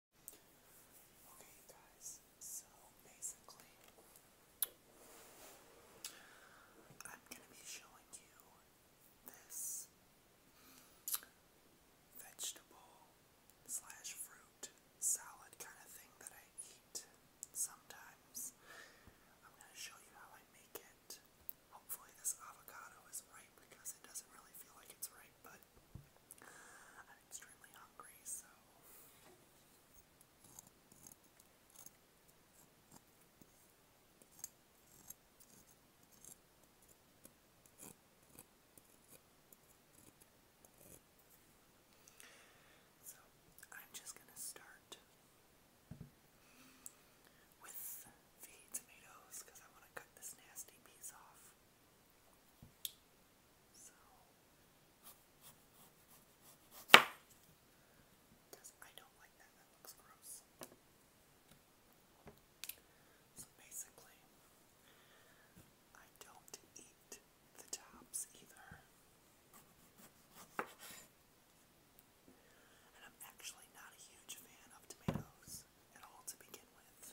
Okay, you guys, so basically, I'm going to be showing you this vegetable slash fruit salad kind of thing that I eat sometimes. I'm going to show you how I make it. Hopefully, this avocado is ripe because it doesn't really feel like it's ripe, but I'm extremely hungry, so. I'm just going to start with the tomatoes because I want to cut this nasty piece off. So because I don't like that, that looks gross. So basically, I don't eat the tops either. And I'm actually not a huge fan of tomatoes at all to begin with.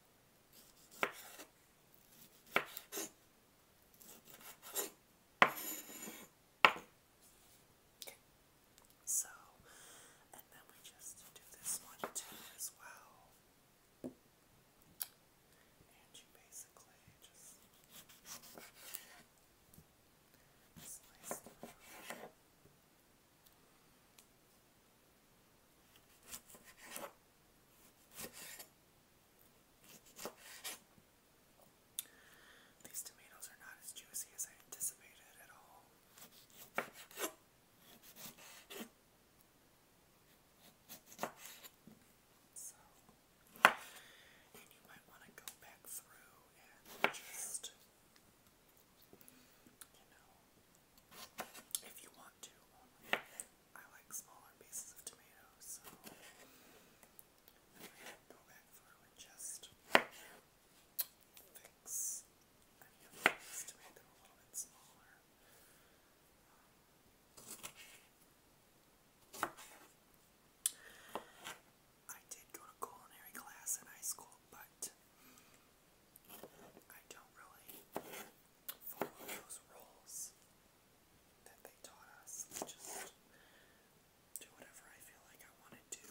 So, and then we just do this one too as well. And you basically just slice these tomatoes are not as juicy as I anticipated at all. So, and you might want to go back through and just, you know, if you want to. I like smaller pieces of tomatoes, so go back through just fix any of these to a little bit smaller. I did go to culinary class in high school, but I don't really follow those rules that they taught us. Just do whatever I feel like I want to do.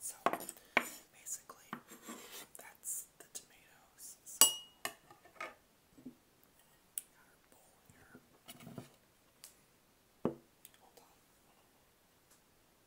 So basically, that's the tomatoes. So, here. Hold on.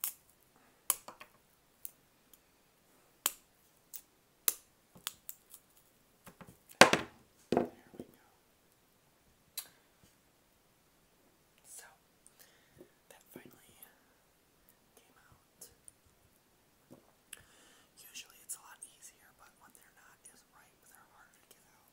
There we So that finally came out. Usually it's a lot easier, but when they're not as ripe, they're harder to get out.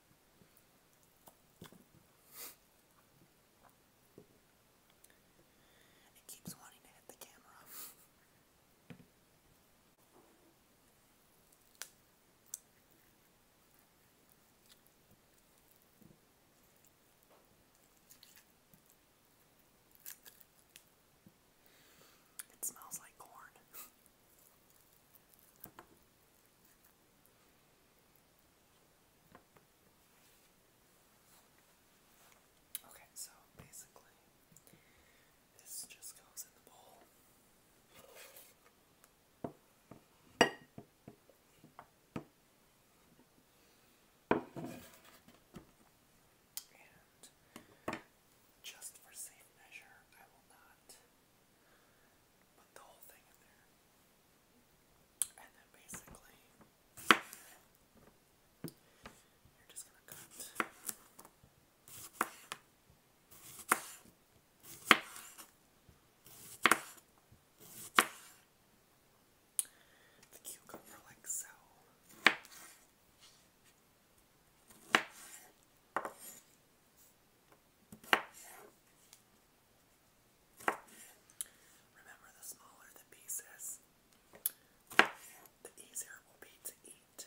It keeps wanting to hit the camera. It smells like corn. Okay, so basically, this just goes in the bowl. And just for safe measure, I will not put the whole thing in there. And then basically, you're just going to cut. The cucumber like so. Remember, the smaller the pieces, the easier it will be to eat.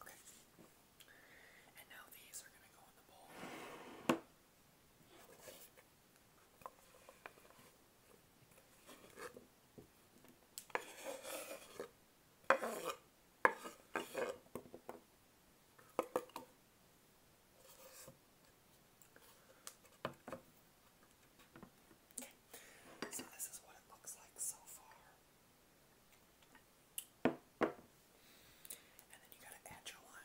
Okay. And now these are going to go in the bowl. Okay. So this is what it looks like so far. And then you gotta add your lime.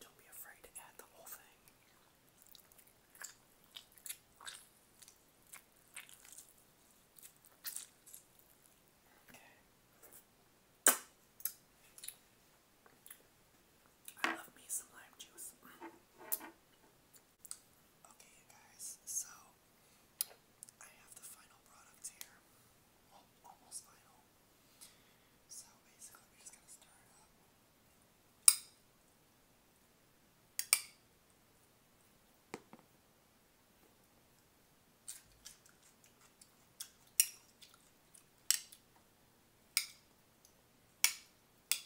Don't be afraid to add the whole thing. Okay. I love me some lime juice. Okay, you guys, so I have the final product here. almost final. So basically, we're just gonna stir it up. Okay,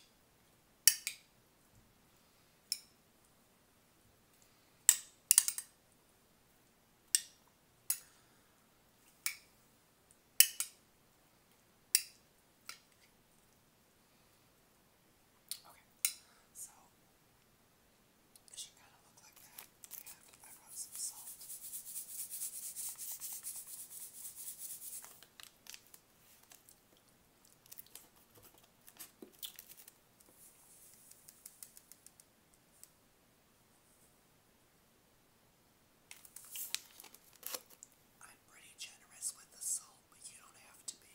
so it should kind of look like that, and I brought some salt. I'm pretty generous with the salt, but you don't have to be.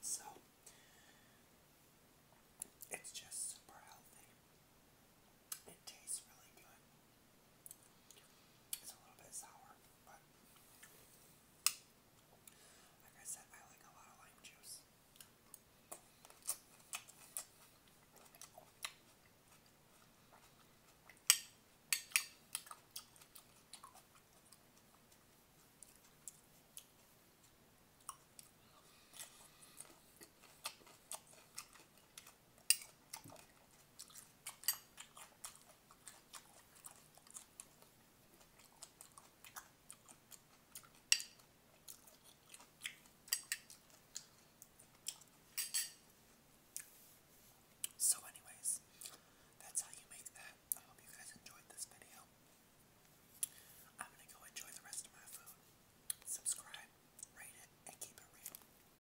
So it's just super healthy. It tastes really good. It's a little bit sour, but like I said, I like a lot of lime juice. So anyways, that's how you make that. I hope you guys enjoyed this video. I'm gonna go enjoy the rest of my food. Subscribe, rate it, and keep it real.